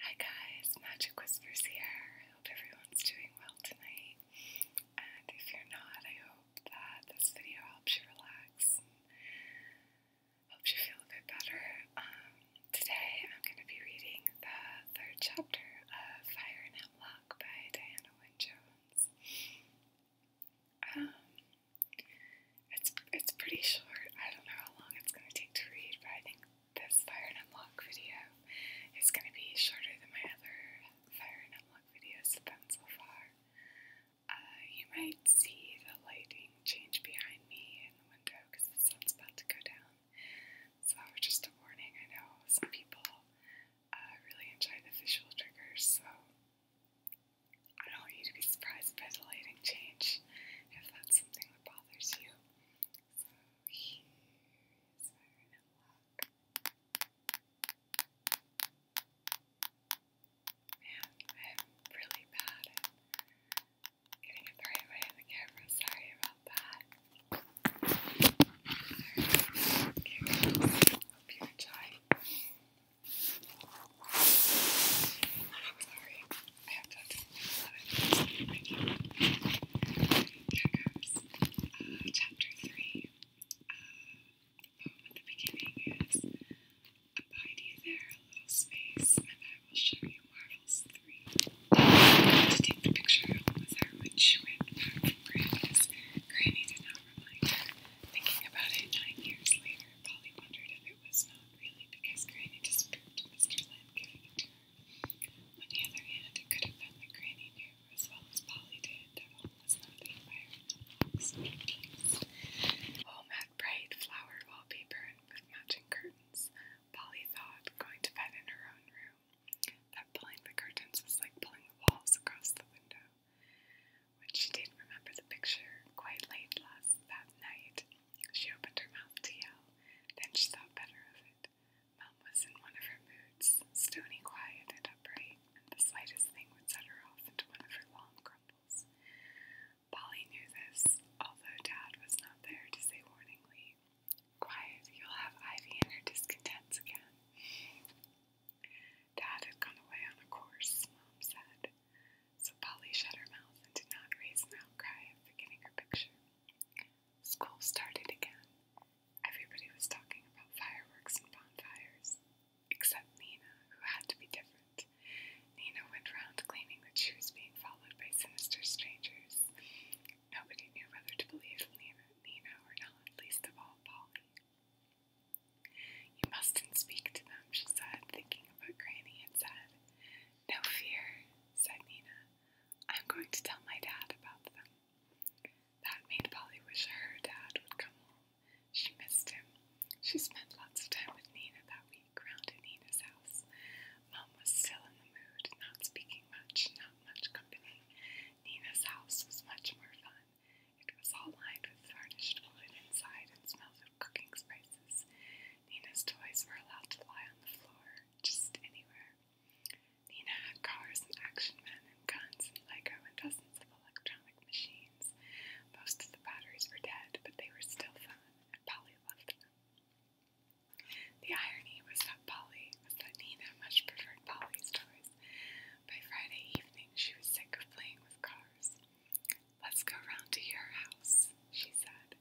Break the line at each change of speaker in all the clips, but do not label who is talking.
Hi guys, Magic Whispers here. I hope everyone's doing well tonight. And if you're not, I hope that this video helps you relax and helps you feel a bit better. Um, today I'm going to be reading the third chapter of Fire and Hemlock by Diana Wynne Jones. Um, it's, it's pretty short. I don't know how long it's going to take to read, but I think this fire and unlock video is going to be shorter than my other fire and unlock videos have been so far. Uh, you might see the lighting change behind me in the window because the sun's about to go down. So just a warning, I know some people uh, really enjoy the visual triggers, so I don't want you to be surprised by the lighting change if that's something that bothers you. So here's our lock. I'm really bad at getting it right in the camera. Sorry about that. you I'm sorry. I hope chapter 3. the poem at the beginning is Abide ye there a little space, and I will show you marvels three. To take the picture was her when she went back from Granny's. Granny did not remind her. Thinking about it nine years later, Polly wondered if it was not really because Granny disproved Mr. Lynn giving it to her. On the other hand, it could have been that Granny knew, as well as Polly did, that home was not the Home had bright flower wallpaper with matching curtains. Polly thought, going to bed in her own room, that pulling the curtains was like pulling the walls across the window. When she did remember the picture quite late last night, she opened her mouth to yell, then she thought better of it. Mom was in one of her moods, stony quiet and upright, and the slightest thing would set her off into one of her long grumbles. Polly knew this, although Dad was not there to say warningly, Quiet, you'll have Ivy and her discontents again. Dad had gone away on a course, Mom said, so Polly shut her mouth and did not raise an outcry at forgetting her picture. School started again. Everybody was talking about fireworks and bonfires, except Nina, who had to be different. Nina went round claiming that she was being followed by sinister strangers. Nobody knew whether to believe Nina, Nina or not, least of all Polly. You mustn't speak to them, she said, thinking of what Granny had said. No fear, said Nina. I'm going to tell my dad about them. That made Polly wish her dad would come home. She missed him. She spent lots of time with Nina that week round Nina's house. Mom was still in the mood, not speaking much, not much company. Nina's house was much more fun. It was all lined with varnished wood inside and smelled of cooking spices. Nina's toys were allowed to lie on the floor just anywhere. Nina had cars and action men and guns and Lego and dozens of electronic machines. Most of the batteries were dead, but they were still fun, and Polly loved them. The irony was that Polly was that Nina much preferred Polly's toys. By Friday evening, she was sick of playing with cars. Let's go round to your house, she said.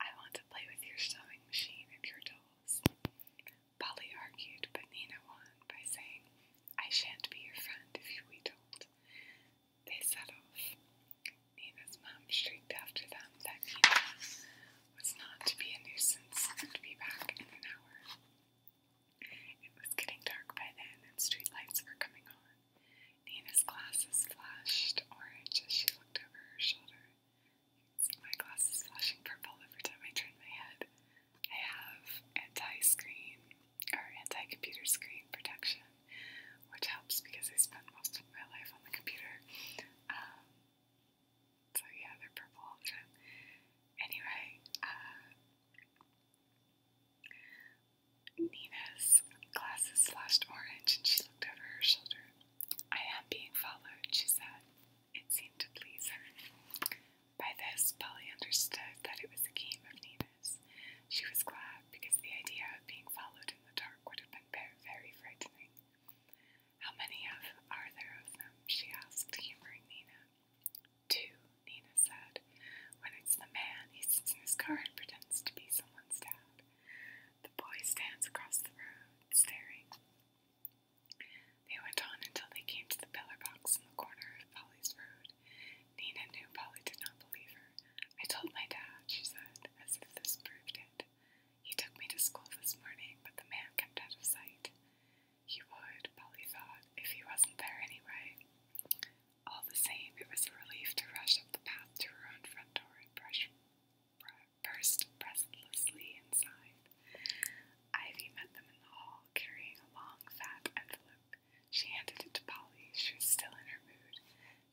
I want to play with your sewing machine and your dolls. Polly argued, but Nina won by saying, I shan't be your friend if you wheedled. They set off. Nina's mom shrieked after them that Nina was not to be a nuisance and be back in an hour. It was getting dark by then and street lights were coming on. Nina's glasses flashed orange as she looked over her shoulder. See my glasses flashing purple every time I turn my head. I have anti-screen or anti-computer screen protection, which helps because I spend most of my life on the computer. Um, so yeah, they're purple all the time. Anyway, uh, Nina's glasses flashed orange and she looked over her shoulder. I am being followed, she said. It seemed to please her. By this, Polly understood that it was a game of Nina's. She was glad because the idea of being followed in the dark would have been very frightening. How many of are there of them? she asked, humoring Nina. Two, Nina said. When it's the man, he sits in his car and pretends to be someone's dad. The boy stands across the road, staring. They went on until they came to the pillar box in the corner of Polly's road. Nina knew Polly did not believe her. I told my dad, she said, as if this proved it. He took me to school this morning, but the man kept out of sight. He would, Polly thought, if he wasn't there anyway. All the same, it was a relief to rush up the path to her own front door and brush burst breathlessly inside. Ivy met them in the hall, carrying a long, fat envelope. She handed it to Polly. She was still in her mood.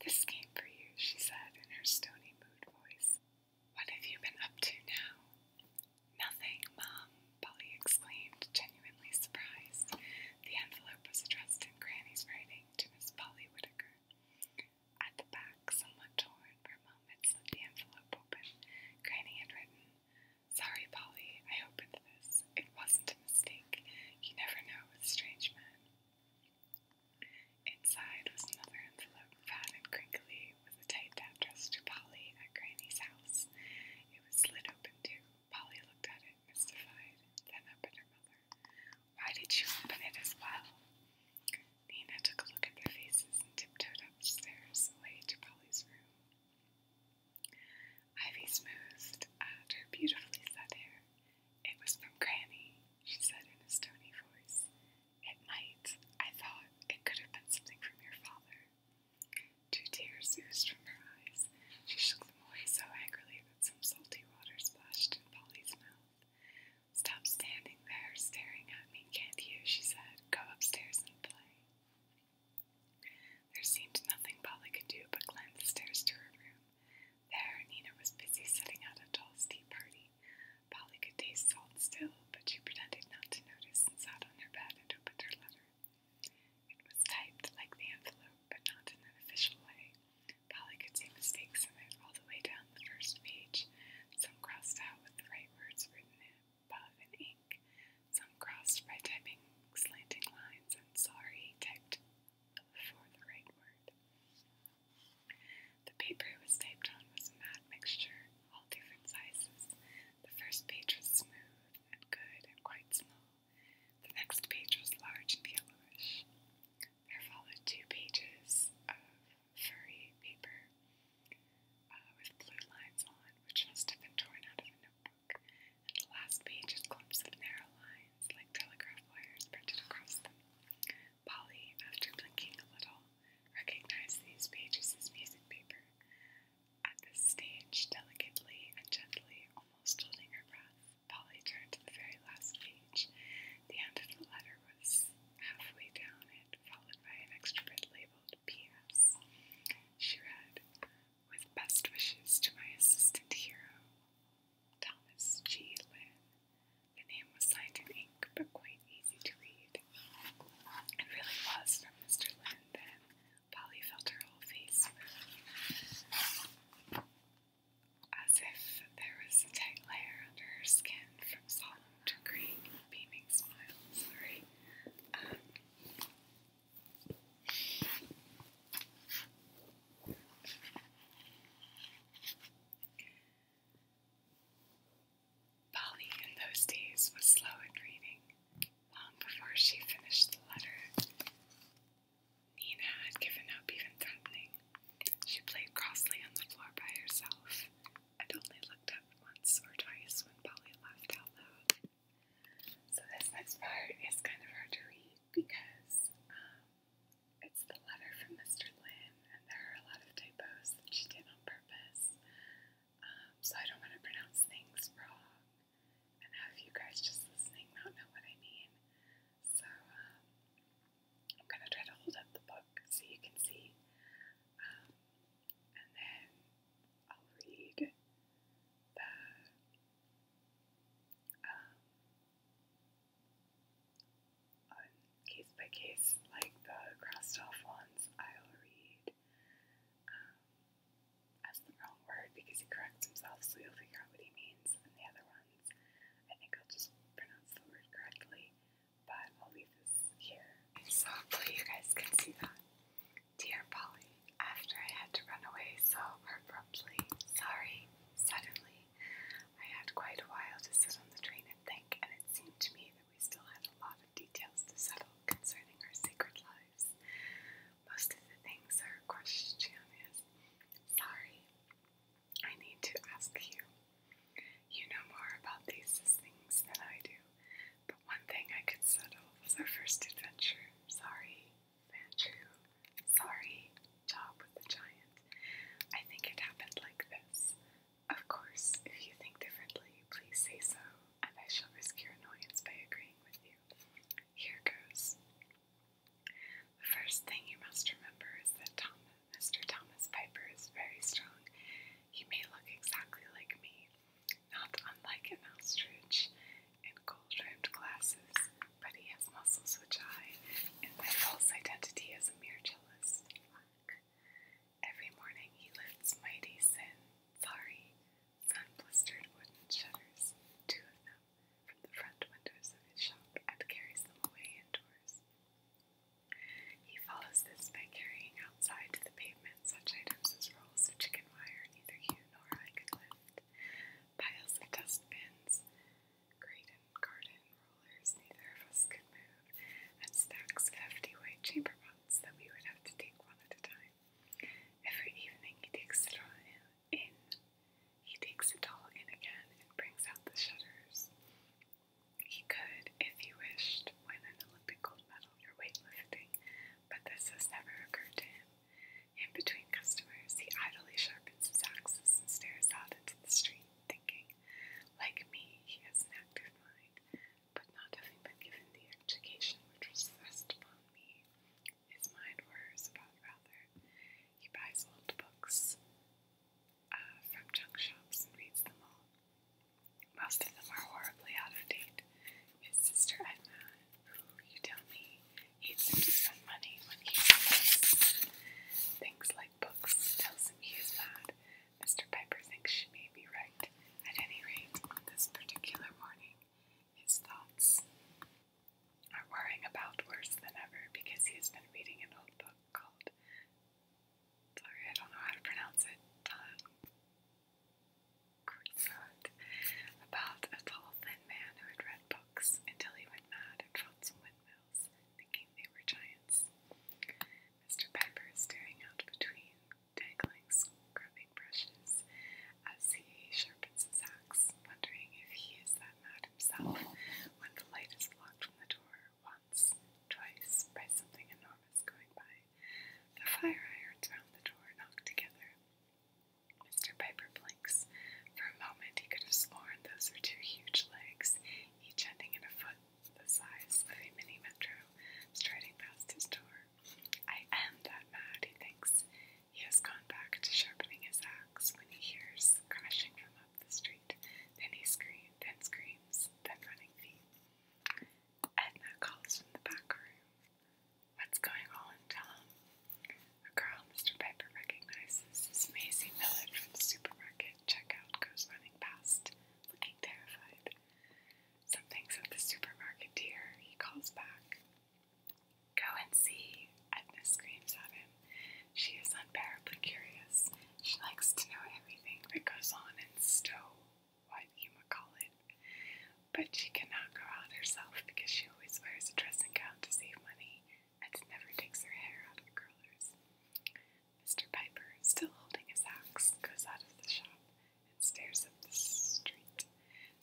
This came for you, she said in her stony mood voice. What have you been up to now? Nothing, Mom, Polly exclaimed, genuinely surprised. The envelope was addressed in Granny's writing to Miss Polly Whitaker. At the back, somewhat torn, for a moment slid the envelope open. Granny had written, Sorry, Polly, I opened this. It wasn't a mistake. You never know with strange men. Inside was another envelope, fat and crinkly, with a tight address to Polly at Granny's house. It was slid open too. Polly looked at it, mystified, then up at her mother. Why did you open it as well? Nina took a look at their faces and tiptoed upstairs away to Polly's room. Ivy smoothed out her beautifully set hair. It was from Granny, she said in a stony voice. It might, I thought, it could have been something from your father. Two tears oozed from her eyes. She shook them away so angrily that some salty water splashed in Polly's mouth. Stop standing there staring at me, can't you? she said. Go upstairs and play. There seemed nothing Polly could do but climb the stairs to her room. There, Nina was busy setting out a doll's tea party. Polly could taste salt still, but she pretended not to notice and sat on her bed and opened her letter. It was typed like the envelope, but not in an official way. Polly could see mistakes in it all the way down the first page, some crossed out with the right words written above in ink, some crossed by typing slanting lines, and sorry typed before the right word. The paper it was typed on was a mad mixture, all different sizes. The first page was smooth and good and quite small. The next page was large and yellowish. There followed two pages of furry paper uh, with blue lines on, which must have been torn out of a notebook, and the last page had clumps of narrow lines like telegraph wires printed across them. Polly, after blinking a little, recognized these pages as music paper. At this stage, delicately and gently, almost holding her breath, Polly turned to the very last page. The end of the letter was halfway down it, followed by an extra bit labeled P.S. She read, With best wishes to my assistant hero, Thomas G. Lynn. The name was signed in ink, but quite easy to read. It really was from Mr. Lynn then. Polly felt her whole face as if there was a tight layer under her skin from solemn to green, beaming smile. Sorry. Um, Polly in those days was slow at reading. Long before she finished the letter, Nina had given up even threatening. She played crossly on the floor by herself and only looked up once or twice when Polly laughed out loud. So this next part is kind of hard to read because um, it's the letter from Mr. Lynn and there are a lot of typos that she did on purpose. Um, so I don't want to pronounce things wrong and have you guys just listening not know what I mean. So um, I'm going to try to hold up the book so you can see, um, and then I'll read the um, case by case, like the crossed off ones. I'll read um, as the wrong word because he corrects himself, so you'll figure out what he means, and the other ones I think I'll just pronounce the word correctly, but I'll leave this here. So hopefully you guys can see that. Dear Polly, after I had to run away so abruptly, sorry, suddenly, I had quite a while to sit on the train and think, and it seemed to me that we still had a lot of details to settle concerning our sacred lives. Most of the things are, our question is, sorry, I need to ask you. You know more about these things than I do, but one thing I could settle was our first adventure. Sorry, Manchu. Sorry, job with the giant. I think it happened like this. Of course, if you think differently, please say so, and I shall risk your annoyance by agreeing with you. Here goes. The first thing you must remember is that Thomas, Mr. Thomas Piper is very strong. He may look exactly like me, not unlike an ostrich, in gold rimmed glasses, but he has muscles which I, in my false identity as a mere cellist, lack. Every morning he lifts mighty sin, sorry, sun blistered wooden shutters, two of them, from the front windows of his shop and carries them away indoors. He follows this by carrying outside to the pavement such items as rolls of chicken wire, neither Hugh nor I could lift, piles of dustbins, great and garden rollers neither of us could move, and stacks of hefty white chamber pots that we would have to take one at a time. Every evening he takes Citron in he takes it all in again and brings out the shutters. He could, if he wished, win an Olympic gold medal for weightlifting, but this has never occurred to him. In between customers, he idly sharpens his axes and stares out into the street, thinking, like me, he has an active mind, but not having been given the education which was thrust upon me, his mind worries rather. He buys old books uh, from junk shops and reads them all. Most of them are horribly out of date. His sister Edna, who you tell me hates him to spend money when he does things like books, tells him he is mad. Mr. Piper thinks she may be right. At any rate, on this particular morning, his thoughts are worrying about worse than ever because he has been reading an old book called. Sorry, I don't know how to pronounce it. Don About a tall, thin man who had read books until he went mad and felt some windmills, thinking they were giants. Mr. Piper is staring out between dangling scrubbing brushes as he sharpens his axe, wondering if he is that mad when the light is blocked from the door once, twice, by something enormous going by. The fire irons round the door knocked together. Mr. Piper blinks. For a moment he could have sworn those were two huge legs, each ending in a foot the size of a mini metro, striding past his door. I am that mad, he thinks. He has gone back to sharpening his axe when he hears crashing from above the street. Then he screams, then screams, then running feet. Edna calls from the back room. What's going on, Tom? A girl Mr. Piper recognizes as Maisie Miller from the supermarket checkout goes running past, looking terrified. Something's at the supermarket, dear, he calls back. Go and see, Edna screams at him. She is unbearably curious. She likes to know everything that goes on in Stowe, what you might call it. But she cannot go out herself because she always wears a dressing gown to save money and never takes her hair out of curlers. Mr. Piper, still holding his axe, goes out of the shop and stares up the street.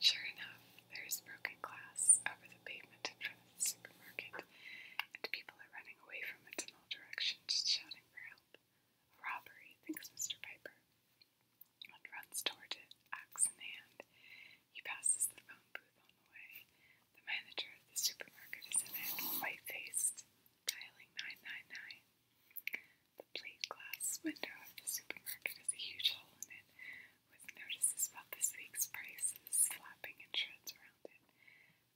Sure enough, there is broken glass over the pavement in front of the supermarket, and people are running away from it in all directions, shouting for help. A robbery, thinks Mr. Piper, and runs toward it, axe in hand. He passes the phone booth on the way. The manager of the supermarket is in it, white faced, dialing 999. The plate glass window of the supermarket has a huge hole in it, with notices about this week's prices flapping in shreds around it.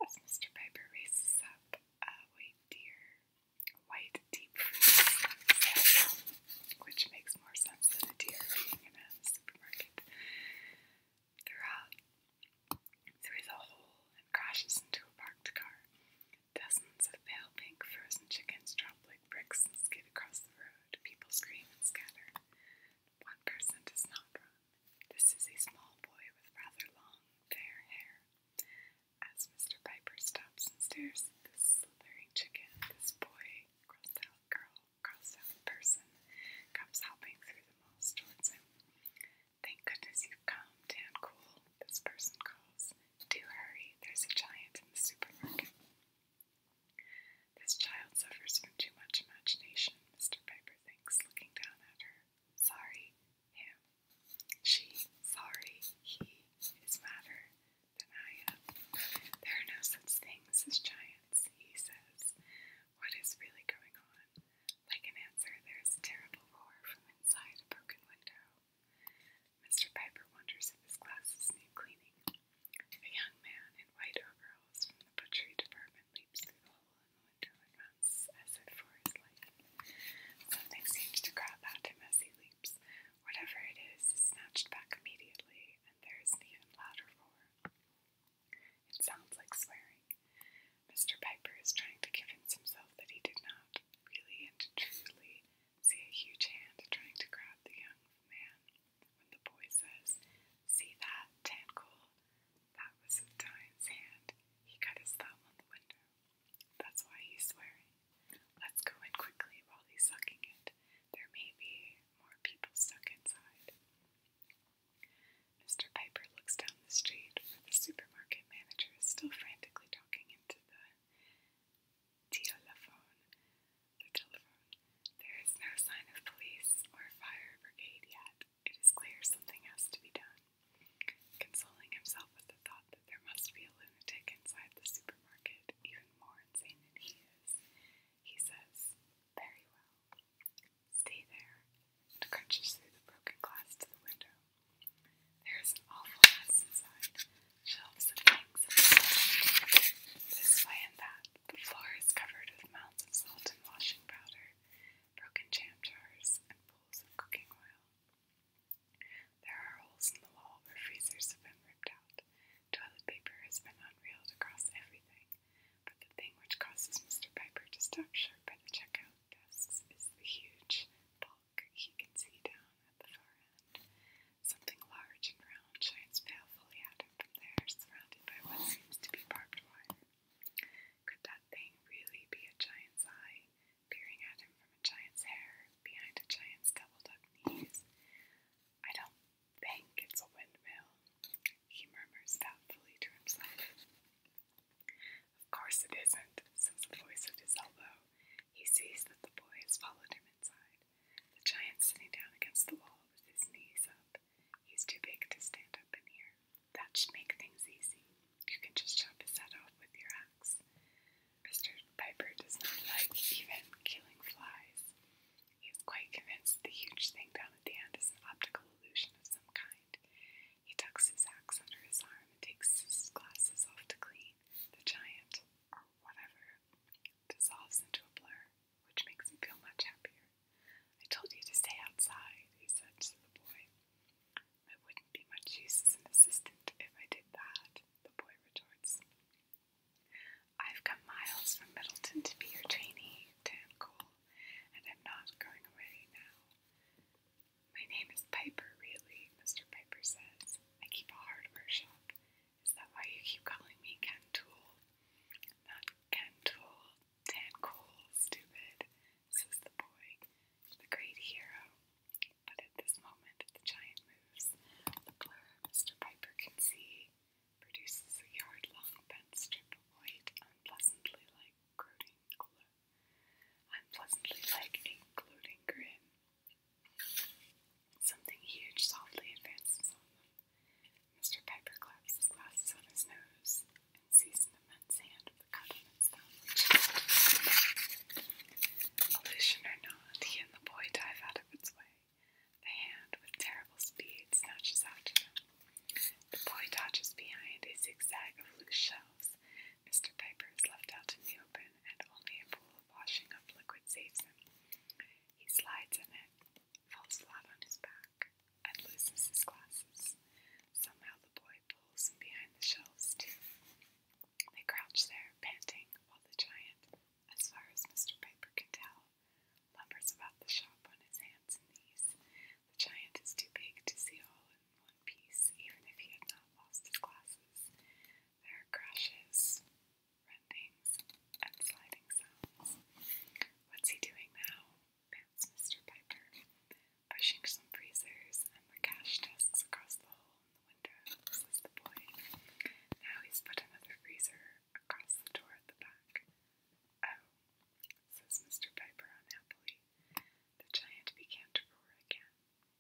As Mr. Piper races up uh, a white deer, white deep fruit, which makes more sense than a deer in a supermarket, throughout, through the hole and crashes into a parked car. Dozens of pale pink frozen chickens drop like bricks and skid across the road. People scream and scatter. One person does not run. This is a small boy with rather long, fair hair. As Mr. Piper stops and stares at this slithering chicken, this boy, crossed out girl, crossed out person, comes hopping through the moss towards him. Thank goodness you've come, Dan Cool, this person calls. Do hurry, there's a giant in the supermarket. This child suffers from too much imagination, Mr. Piper thinks, looking down at her. Sorry, him. She, sorry, he is madder than I am. There are no such things as giants, he says. What is really going on? Like an answer, there is a terrible roar from inside a broken window. Mr. Piper wonders if his glasses need cleaning. A young man in white overalls from the butchery department leaps through the hole in the window and runs as if his life. Something seems to grab at him as he leaps. Whatever it is is snatched back immediately, and there is an even louder roar. It sounds like swearing. Mr. Piper is trying to convince himself that he did not really and truly see a huge hand trying to grab the young man when the boy says, See that, Tankul? That was the hand. He cut his thumb on the window. That's why he's swearing. Let's go in quickly while he's sucking it. There may be more people stuck inside. Mr. Piper looks down the street where the supermarket manager is still frantically talking into the telephone. The telephone. There is no sign of police or fire brigade yet. It is clear something has to be done. Consoling himself with the thought that there must be a lunatic inside the supermarket, even more insane than he is, he says, Very well. Stay there, and crunches through the broken glass to the window. There is an awful mess inside. Shelves of things of salt. This way and that. The floor is covered with mounds of salt and washing powder, broken jam jars, and pools of cooking oil. There are holes in the wall where freezers have been ripped out. Toilet paper has been unreeled across everything, but the thing which causes Mr. Piper to stop sharp at the checkout desks is the huge bulk he can see down at the far end. Something large and round shines balefully at from there, surrounded by what seems to be barbed wire. Could that thing really be a giant's eye, peering at him from a giant's hair, behind a giant's doubled-up knees? I don't think it's a windmill, he murmurs doubtfully to himself. Of course it isn't, says the voice at his elbow. He sees that the boy has followed him inside, the giant sitting down against the wall with his knees up, He's too big to stand up in here. That should make things easy. You can just chop his head off with your axe. Mr. Piper does not like even killing flies. He is quite convinced that the huge thing down at the end is an optical illusion of some kind. He tucks his axe under his arm and takes his glasses off to clean. The giant, or whatever, dissolves into a blur which makes me feel much happier. I told you to stay outside, he said to the boy. I wouldn't be much use as an assistant if I did that, the boy retorts. I've come miles from Middleton to be your trainee, Dan Cole, and I'm not going away now. My name is Piper, really, Mr. Piper says. I keep a hardware shop. Is that why you keep calling me Ken Tool? Not Ken Tool, Dan Cole, stupid, says the boy, the great hero. But at this moment, the giant moves. The blur Mr. Piper can see produces a yard long bent strip of white, unpleasantly like gloating glo- unpleasantly like a gloating grin. Something huge softly advances on them. Mr. Piper claps his glasses on his nose and sees an immense hand with a cut on its thumb. Illusion or not, he and the boy dive out of its way. The hand, with terrible speed, snatches after them. The boy dodges behind a zigzag of loose shelves. Mr. Piper is left out in the open, and only a pool of washing up liquid saves him. He slides in it, falls flat on his back and loses his glasses. Somehow the boy pulls him behind the shelves, too. They crouch there, panting, while the giant, as far as Mr. Piper can tell, lumbers about the shop on his hands and knees. The giant is too big to see all in one piece, even if he had not lost his glasses. There are crashes, rendings, and sliding sounds. What's he doing now? pants Mr. Piper, pushing some freezers and the cash desks across the hall in the window, says the boy. Now he's put another freezer across the door at the back. Oh, says Mr. Piper unhappily. The giant began to roar again.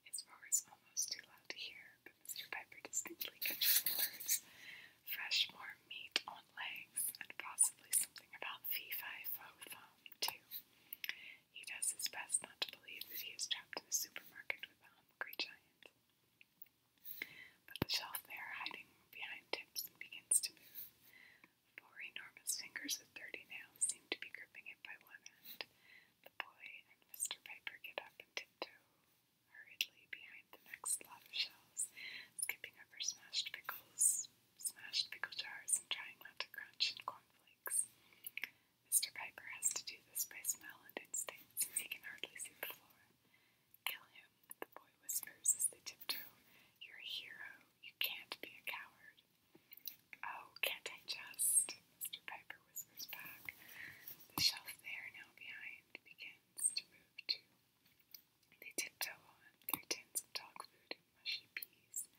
His roar is almost too loud to hear, but Mr. Piper distinctly catches the words fresh warm meat on legs, and possibly something about fee fi too. He does his best not to believe that he is trapped in the supermarket with a hungry giant. But the shelf there, hiding behind him begins to move. Four enormous fingers with dirty nails seem to be gripping it by one end. The boy and Mr. Piper get up and tiptoe hurriedly behind the next lot of shelves skipping over smashed pickles, smashed pickle jars, and trying not to crunch in cornflakes. Mr. Piper has to do this by smell and instinct since he can hardly see the floor. Kill him, the boy whispers as they tiptoe. You're a hero. You can't be a coward. Oh, can't I just? Mr. Piper whispers back. The shelf there, now behind, begins to move too. They tiptoe on through tins of dog food and mushy peas.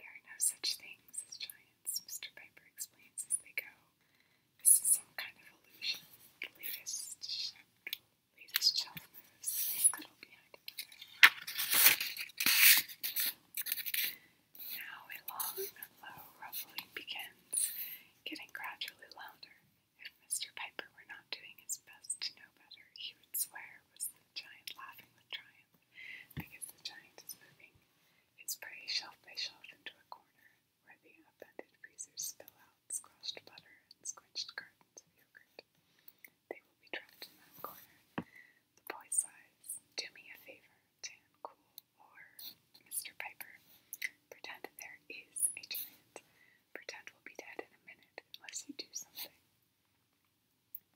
There are no such things as giants, Mr. Piper explains as they go. This is some kind of illusion. The latest, latest shelf moves, little behind Now a long, low rumbling begins, getting gradually louder. If Mr. Piper were not doing his best to know better, he would swear it was the giant laughing with triumph, because the giant is moving its prey shelf by shelf into a corner where the upended freezers spill out squashed butter and squinched cartons of yogurt. They will be trapped in that corner. The boy sighs, Do me a favor, Tan Cool, or Mr. Piper. Pretend there is a giant. Pretend we'll be dead in a minute unless you do something.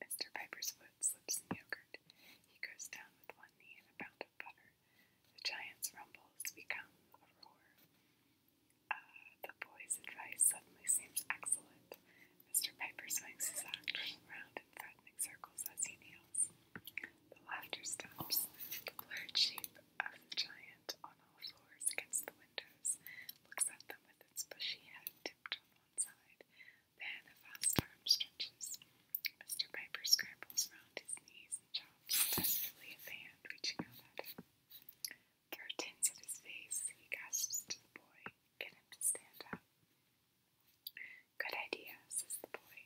Mr. Piper's foot slips in yogurt. He goes down with one knee and a pound of butter. The giant's rumbles become a roar. Ah, the boy's advice suddenly seems excellent. Mr. Piper swings his axe around in threatening circles as he kneels. The laughter stops. The blurred sheet of the giant on all fours against the windows, looks at them with its bushy head tipped on one side. Then a fast arm stretches. Mr. Piper scrambles round his knees and chops desperately at the hand reaching out at him. Fur tins at his face, he gasps to the boy, Get him to stand up. Good idea, says the boy.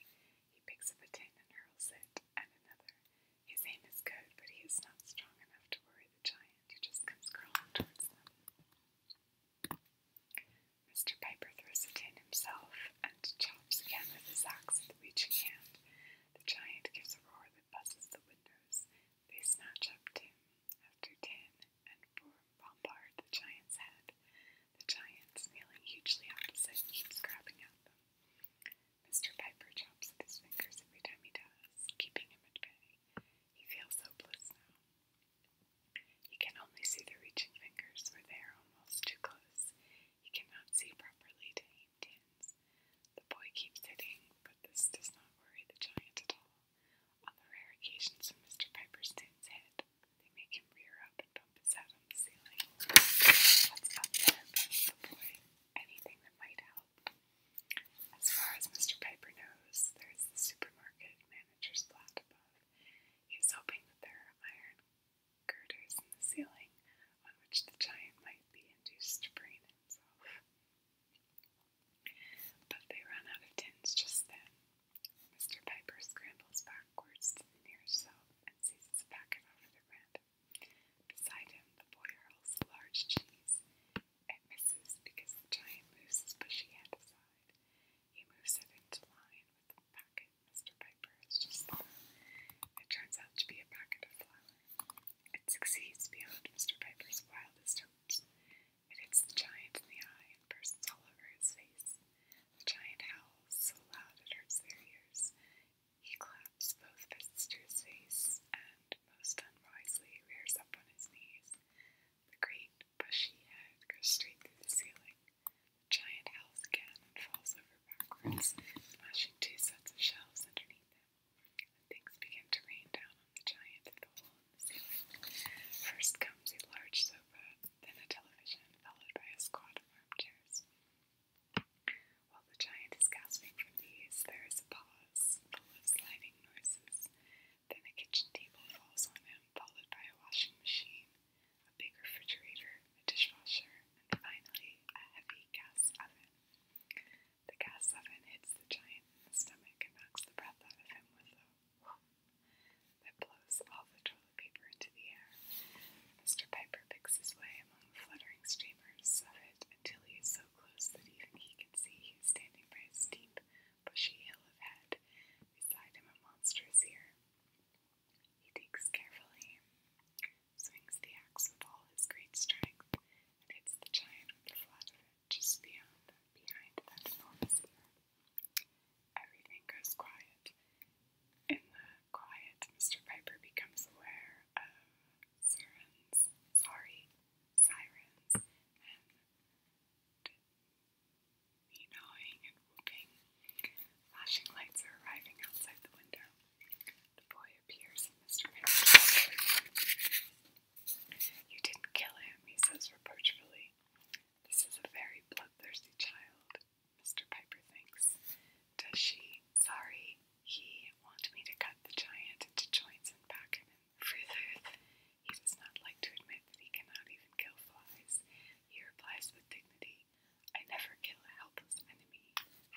He picks up a tin and hurls it, and another, his aim is good, but he is not strong enough to worry the giant. He just comes crawling towards them. Mr. Piper throws a tin himself and chops again with his axe at the reaching hand. The giant gives a roar that buzzes the windows. They snatch up tin after tin and bombard the giant's head. The giant, kneeling hugely opposite, keeps grabbing at them. Mr. Piper chops at his fingers every time he does, keeping him at bay. He feels hopeless now. He can only see the reaching fingers, where they are almost too close. He cannot see properly to aim tins. The boy keeps hitting, but this does not worry the giant at all. On the rare occasions when Mr. Piper stands head, they make him rear up and bump his head on the ceiling. What's up there, the boy? Anything that might help. As far as Mr. Piper knows, there's the supermarket manager's flat above. He is hoping that there are iron girders in the ceiling on which the giant might be induced to brain himself. But they run out of tins just then. Mr. Piper scrambles backwards to the nearest shelf and seizes a packet off the rent Beside him, the boy hurls a large cheese. It misses because the giant moves his bushy head aside. He moves it into line with the packet Mr. Piper has just It turns out to be a packet of flour. It succeeds beyond Mr. Piper's wildest hopes. It hits the giant in the eye and bursts all over his face. The giant howls so loud it hurts their ears. He claps both fists to his face and, most unwisely, rears up on his knees. The great, bushy head goes straight through the ceiling. The giant howls again and falls over backwards, smashing two sets of shelves underneath him. things begin to rain down on the giant through the hole in the ceiling. First comes a large sofa, then a television, followed by a squad of armchairs. While the giant is gasping for these, there is a pause full of sliding noises. Then a kitchen table falls on him, followed by a washing machine, a big refrigerator, a dishwasher, and finally a heavy gas oven. The gas oven hits the giant in the stomach and knocks the breath out of him with a whoop that blows all the toilet paper into the air. Mr. Piper picks his way among the fluttering streamers of it until he is so close that even he could see he standing by a steep, bushy hill of head, beside him a monstrous ear. He digs carefully, swings the axe with all his great strength, and hits the giant with the flat of it just beyond, behind that enormous ear. Everything goes quiet. In the quiet, Mr. Piper becomes aware of sirens, sorry, sirens, and me gnawing and whooping. Flashing lights are arriving outside the window. The boy appears in Mr. Man's You didn't kill him, he says reproachfully. This is a very bloodthirsty child, Mr. Piper thinks. Does she? Sorry, he wants me to cut the giant into joints and pack him in Fritherth. He does not like to admit that he cannot even kill flies. He replies with dignity, I never kill a helpless enemy.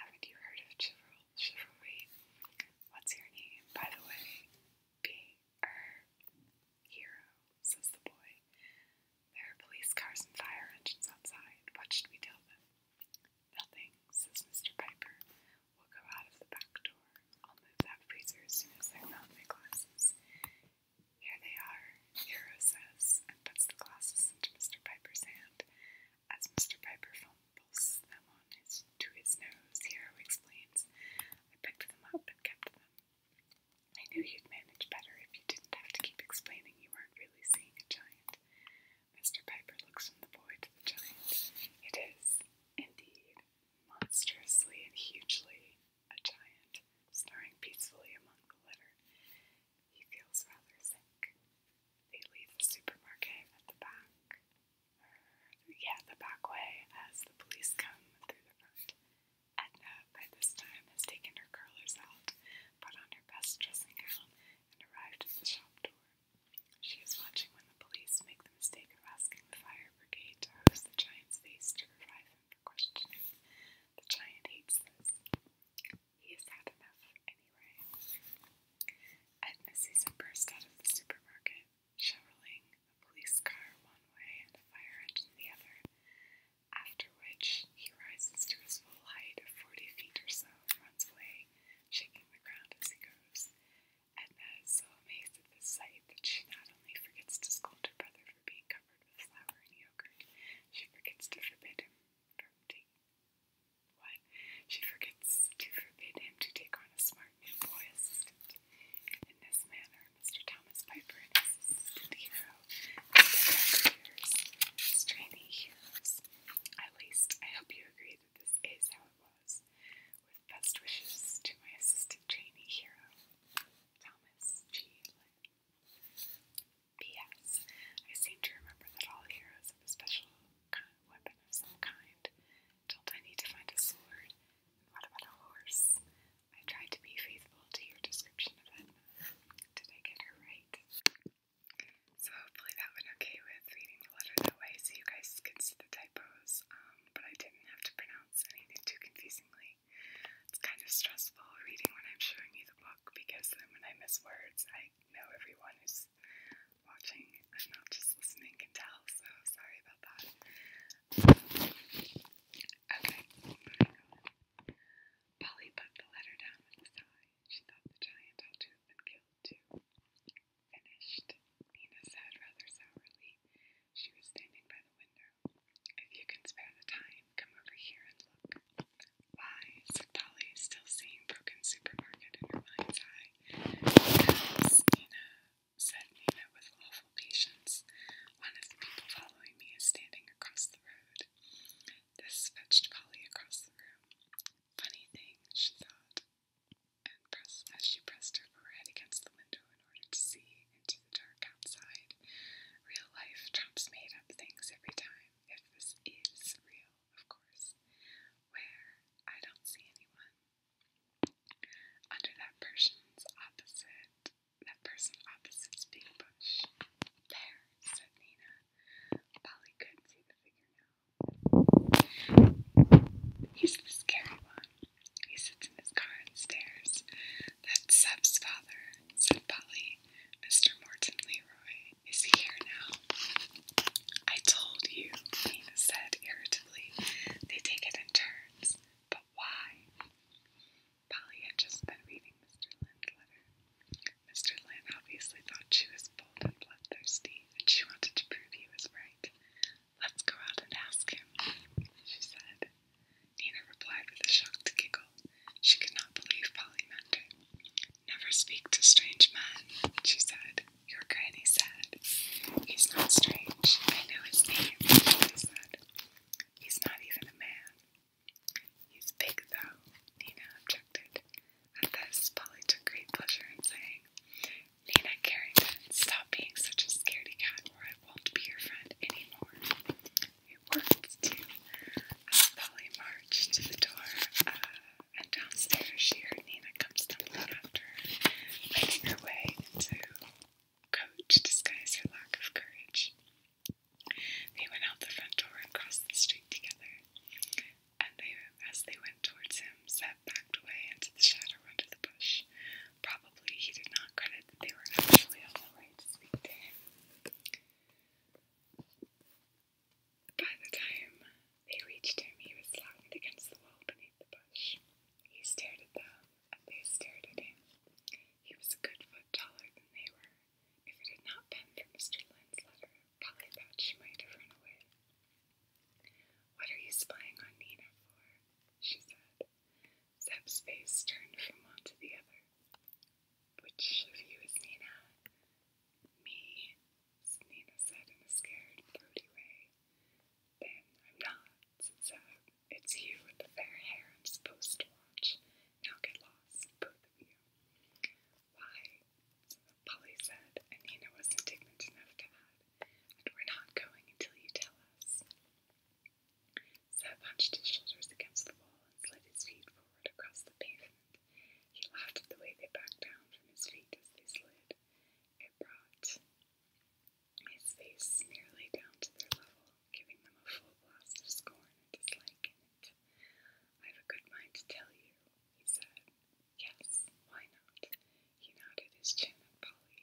Haven't you heard of chival chivalry? What's your name, by the way? Being hero, says the boy. There are police cars and fire engines outside. What should we tell them? Nothing, says Mr. Piper. We'll go out of the back door. I'll move that freezer as soon as I found my glasses. Here they are, Hero says, and puts the glasses into Mr. Piper's hand. As Mr. Piper fumbles them on his to his nose, Hero explains, I picked them up and kept them. I knew you'd manage better if you didn't have to keep explaining you weren't really seeing a giant. Mr. Piper looks from the boy to the giant. It is, indeed, monstrously and hugely a giant, snoring peacefully among the litter. He feels rather sick. They leave the supermarket at the back. Or, er, yeah, the back way as the police come through the front. Edna, by this time, has taken her curlers out, put on her best dressing gown, and arrived at the shop door. She is watching when the police make the mistake of asking the fire brigade to hose the giant's face to revive him for questioning. The giant hates this. He is had enough anyway. Edna sees him burst out of the supermarket, shoveling a police car one way and a fire engine the other, after which he rises to his full height of forty feet or so runs away, shaking the ground as he goes. Edna is so amazed at this sight that she not only forgets to scold her brother for being covered with flour and yogurt, she forgets to forbid him from taking what? She forgets to forbid him to take on a smart new boy assistant. In this manner, Mr. Thomas Piper and his hero are years as At least, I hope you agree this is how it was. With best wishes to my assistant trainee hero, Thomas G. Lynn. I seem to remember that all heroes have a special kind of weapon of some kind. Don't I need to find a sword? what about a horse? I tried to be faithful to your description of Edna. Did I get her right? So hopefully that went okay with reading the letter that way so you guys can see the typos, um, but I didn't have to pronounce anything too confusingly. It's kind of stressful reading when I'm showing you the book because then when I miss words, I know everyone who's watching and not just listening can tell, so sorry about that. Okay, Polly put the letter down with a sigh. She thought the giant ought to have been killed too. Finished, Nina said rather sourly. She was standing by the window. If you can spare the time, come over here and look. Why, said Dolly, still seeing Broken Supermarket in her mind's eye. Nina, said Nina with awful patience, one of the people following me is standing across the road. This fetched Polly across the room. Funny thing, she thought, and pressed, as she pressed her forehead against the window in order to see into the dark outside. Real life jumps made up things every time, if this is real, of course. Where I don't see anyone. Under that person's opposite, that person opposite is big bush. There, said Nina. Polly could see the figure now. He's the scary one. He sits in his car and stares. That's Seb's father, said Polly. Mr. Morton Leroy is here now. I told you, Nina said irritably. They take it in turns. But why? Polly had just been reading Mr. Lind's letter. Mr. Lynn obviously thought she was bold and bloodthirsty, and she wanted to prove he was right. Let's go out and ask him, she said. Nina replied with a shocked giggle. She could not believe Polly Never speak to strange men, she said. Your granny said. He's not strange. I know his name, Polly said. He's not even a man. He's big, though, Nina objected. At this, Polly took great pleasure in saying, Nina Carrington, stop being such a scaredy cat, or I won't be your friend anymore. It worked, too. Uh, As Polly marched to the door, uh, and downstairs she heard Nina come stumbling after her, making her way into coach disguise her lack of courage. They went out the front door and crossed the street together and they, as they went towards him, Zeb backed away into the shadow under the bush. Probably he did not credit that they were actually on the way to speak to him. By the time they reached him, he was locked against the wall beneath the bush. He stared at them, and they stared at him. He was a good foot taller than they were. If it had not been for Mr. Lynn's letter Polly thought she might have run away. What are you spying on Nina for? she said. Zeb's face turned from one to the other. Which of you is Nina? Me, Nina said in a scared, throaty way. Then I'm not, said Zeb. It's you with the fair hair I'm supposed to watch. Now get lost, both of you. Why? Polly said, and Nina was indignant enough to add, we're not going until you tell us. Seth hunched his shoulders against the wall and slid his feet forward across the pavement. He laughed at the way they backed down from his feet as they slid. It brought his face nearly down to their level, giving them a full blast of scorn and dislike I've a good mind to tell you, he said, Yes, why not? He nodded his chin at Polly.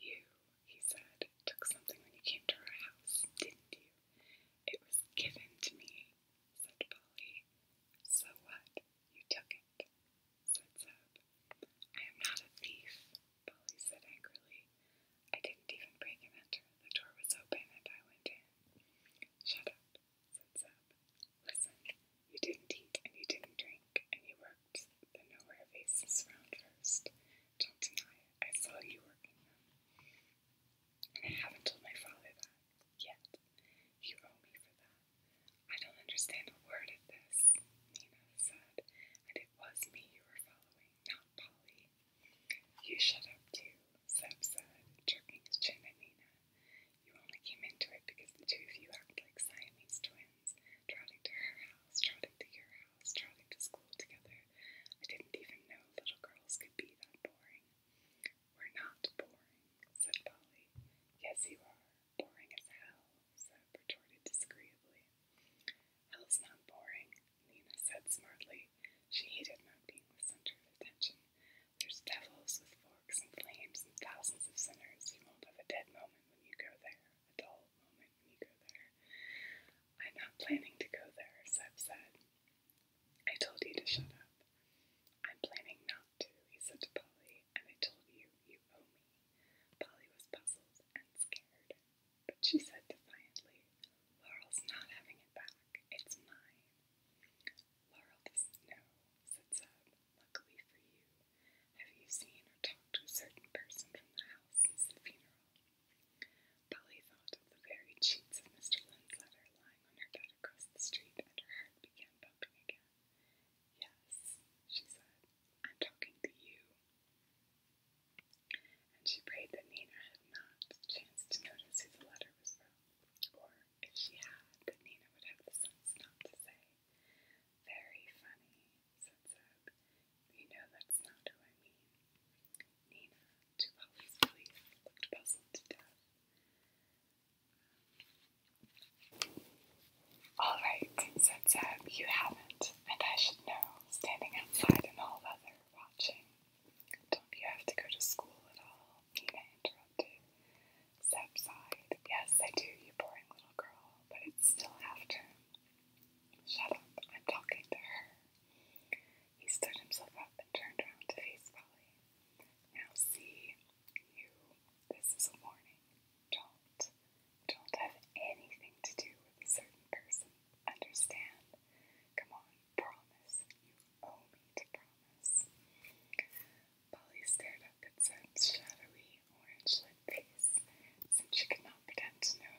You, he said, took something when you came to our house, didn't you? It was given to me, said Polly. So what? You took it, said Zeb. I am not a thief, Polly said angrily. I didn't even break and enter. The door was open and I went in. Shut up, sits up. Listen, you didn't eat and you didn't drink, and you worked the nowhere faces round first. Don't deny it. I saw you working them. And I haven't told my father that yet. You owe me for that. I don't understand a word of this, Nina said, and it was me you were following, not Polly. You shut up too, Seb said, jerking his chin at Nina. You only came into it because the two of you act like Siamese twins, trotting to her house, trotting to your house, trotting to school together. I didn't even know little girls could be that boring. We're not boring, said Polly. Yes, you are. Boring as hell, Seb retorted disagreeably. Hell's not boring, Nina said smartly. She hated not being the center of attention. There's devils with forks and flames and thousands of sinners. You won't have a dead moment when you go there, a dull moment when you go there. I'm not planning to go there, Seb said. I told you to shut up. I'm planning not to, he said to Polly, and I told you you owe me. Polly was puzzled and scared, but she said defiantly, Laurel's not having it back. It's mine. Laurel doesn't know, said Zeb. Luckily for you, have you seen or talked to a certain person from the house since the funeral? Polly thought of the very sheets of Mr. Lynn's letter lying on her bed across the street, and her heart began bumping again. Yes, she said, I'm talking to you. And she prayed that Nina had not chanced to notice who the letter was from. Or if she had, Nina would have the sense not to say, Very funny, said Zeb. You know that's not who I mean. Nina, to Polly's relief, looked puzzled to death. All right, said Zeb, you haven't, and I should know, standing outside in all weather, watching. Don't you have to go to school at all? I interrupted. Seb sighed. Yes, I do, you boring little girl, but it's still after. Shut up, I'm talking to her. He stood himself up and turned around to face Polly. Now see, you, this is a warning. Don't, don't have anything to do with a certain person. Understand? Come on, promise. You owe me to promise. Polly stared up at Sam's shadowy orange-lit face, since she could not pretend to know,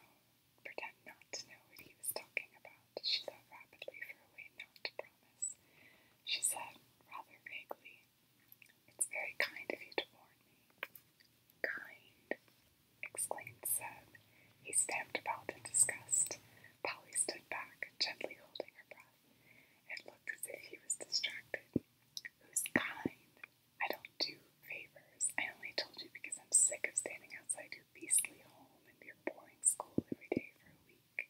pretend not to know what he was talking about. She thought rapidly for a way not to promise. She said rather vaguely, "It's very kind of you to warn me." Kind! exclaimed Seb. He stamped about in disgust. Polly stood back, gently holding her breath. It looked as if he was distracted. Who's kind? I don't do favors. I only told you because I'm sick of standing outside your beastly home and your boring school every day for a week.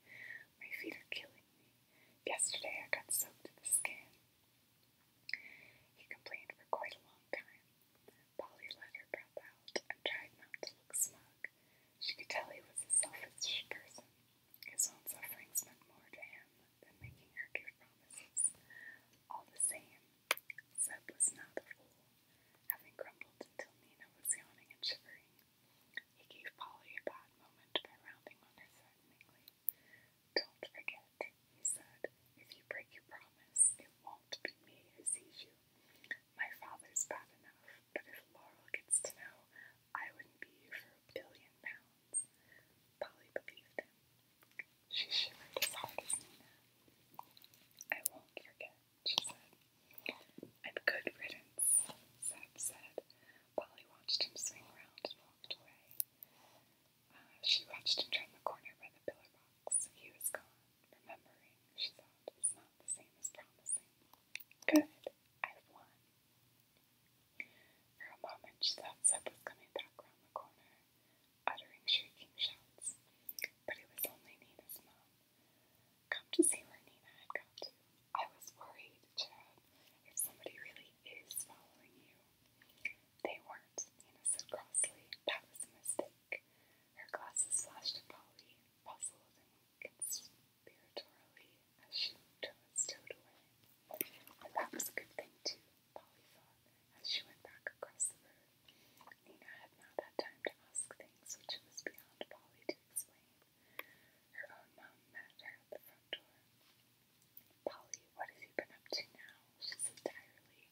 My feet are killing me. Yesterday I got soaked to the skin. He complained for quite a long time. Polly let her breath out and tried not to look smug. She could tell he was a selfish person. His own suffering meant more to him than making her give promises. All the same, Seb was not a fool, having grumbled until Nina was yawning and shivering. He gave Polly a bad moment by rounding on her threateningly. Don't forget, he said, if you break your promise, it won't be me who sees you. My father's bad enough, but if Laurel gets to know, I wouldn't be here for a billion pounds. Polly believed him. She shivered as hard as Nina. I won't forget, she said. And good riddance, Seb said. Polly watched him swing round and walked away. Uh, she watched him turn the corner by the pillar box. He was gone. Remembering, she thought, is not the same as promising. Good, I've won. For a moment, she thought Zeb was coming back round the corner, uttering shrieking shouts. But it was only Nina's mom. Come to see where Nina had got I was worried, Chad, if somebody really is following you. They weren't, Nina said crossly. That was a mistake. Her glasses flashed at Polly, puzzled and conspiratorially as she was stowed away. And that was a good thing, too, Polly thought, as she went back across the road. Nina had not had time to ask things which it was beyond Polly to explain. Her own mom met her at the front door. Polly, what have you been up to now? She said tiredly.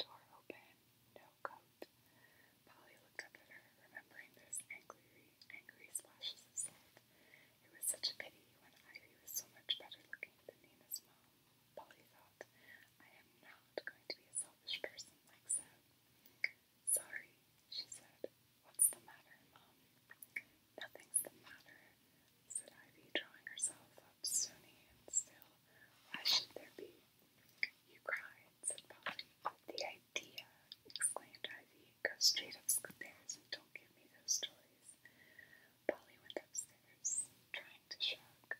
Door open, no Polly looked up at her, remembering those angry, angry splashes of salt. It was such a pity when Ivy was so much better looking than Nina's mom. Polly thought, I am not going to be a selfish person like Seb. Sorry, she said. What's the matter, Mom? Nothing's the matter, said Ivy, drawing herself up stony and still. Why should there be? You cried, said Polly. The idea! exclaimed Ivy. Go straight upstairs and don't give me those stories. Polly went upstairs, trying to shrug.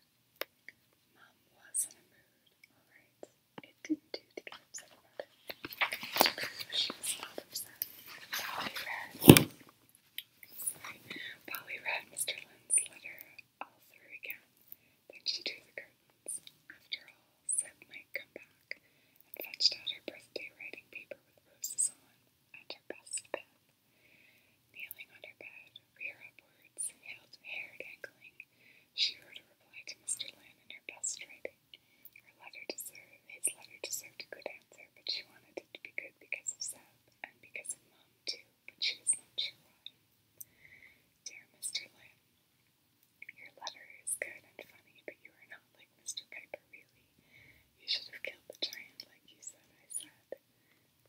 Mom was in a mood, all right. It didn't do to get upset about it. She was not upset. Polly read. Sorry. Polly read Mr. Lynn's letter all through again. Then she drew the curtains. After all, said might come back, and fetched out her birthday writing paper with roses on and her best pen. Kneeling on her bed, rear upwards, hair dangling, she wrote a reply to Mr. Lynn in her best writing. Her letter deserved, his letter deserved a good answer, but she wanted it to be good because of Seb and because of Mom, too, but she was not sure why. Dear Mr. Lynn, your letter is good and funny, but you are not like Mr. Piper, really. You should have killed the giant like you said I said.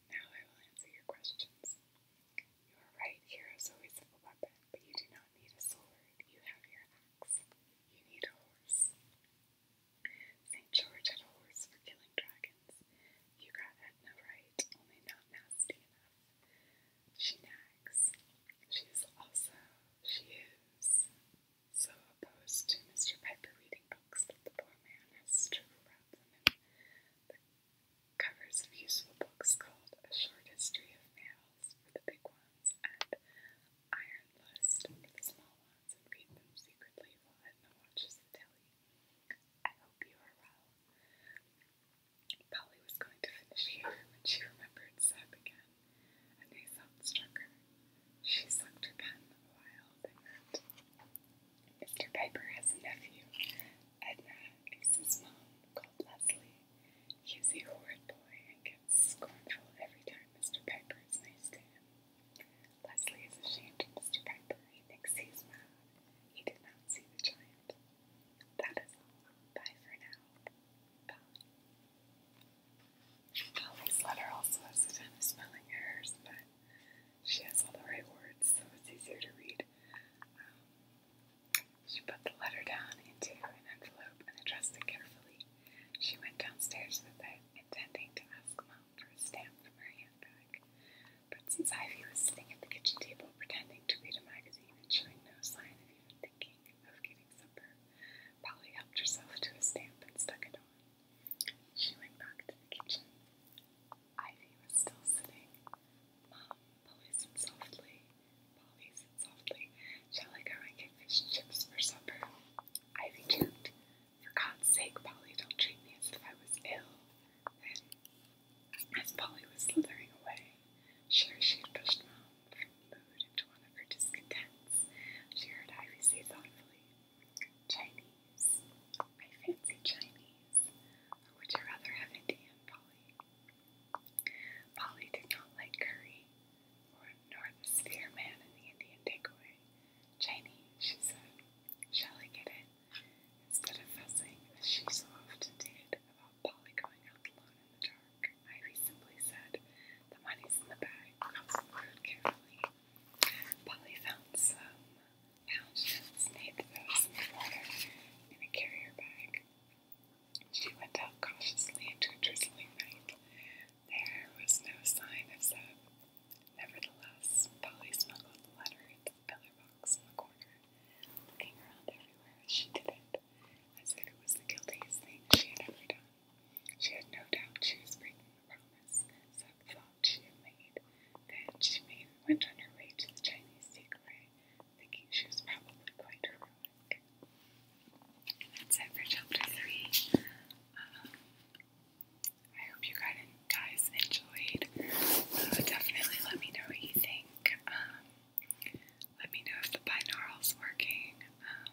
Now I will answer your questions. You are right, heroes always have a weapon, but you do not need a sword. You have your axe. You need a horse. St. George had a horse for killing dragons. You got Edna right, only not nasty enough. She nags. She is also, she is so opposed to Mr. Piper reading books that the poor man has to wrap them in the covers of useful books called A Short History of Males for the big ones and Iron List for the small ones and read them secretly while Edna watches the telly. I hope you are well. Polly was going to finish here when she remembered Seb again. A new thought struck her. She sucked her pen wild and wrote, Mr. Piper has a nephew, Edna, is his mom, called Leslie. He's a horrid boy and gets scornful every time Mr. Piper is nice to him. Leslie is ashamed of Mr. Piper. He thinks he's mad. He did not see the giant. That is all. Bye for now. Bye. letter also has a ton of spelling errors, but she has all the right words, so it's easier to read. Um, she put the letter down into an envelope and addressed it carefully. She went downstairs with it, intending to ask Mom for a stamp from her handbag. But since Ivy was sitting at the kitchen table pretending to read a magazine, even showing no sign of even thinking of getting supper. Polly helped herself to a stamp and stuck it on. She went back to the kitchen. Ivy was still sitting. Mom, Polly said softly. Polly said softly, Shall I go and get fish and chips for supper? Ivy joked. For God's sake, Polly, don't treat me as if I was ill. Then as Polly was slithering away, sure she had pushed Mom from the mood into one of her discontents, she heard Ivy say thoughtfully, Chinese. I fancy Chinese. Or would you rather have Indian, Polly? Polly did not like curry, nor the sphere man in the Indian takeaway. Chinese, she said. Shall I get it? Instead of fussing, as she so often did, about Polly going out alone in the dark, Ivy simply said, The money's in the bag. Cross the carefully. Polly found some pound notes, made those in the water in a carrier bag. She went out cautiously into a drizzling night. There was no sign of Zeb. Nevertheless, Polly smuggled the letter into pillar box in the corner, looking around everywhere as she did it, as if it was the guiltiest thing she had ever done. She had no doubt she was breaking the promise Seth thought she had made. Then she made, went on her way to the Chinese takeaway, thinking she was probably quite heroic. And that's it for chapter three. Um, I hope you guys enjoyed. Uh, definitely let me know what you think. Um, let me know if the binaural's working. Um,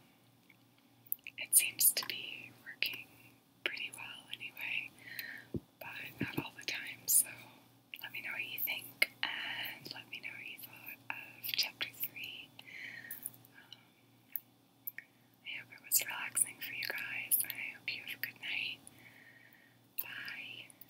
it seems to be working pretty well anyway, but not all the time, so let me know what you think and let me know what you thought of chapter 3. Um, I hope it was relaxing for you guys, I hope you have a good night. Bye.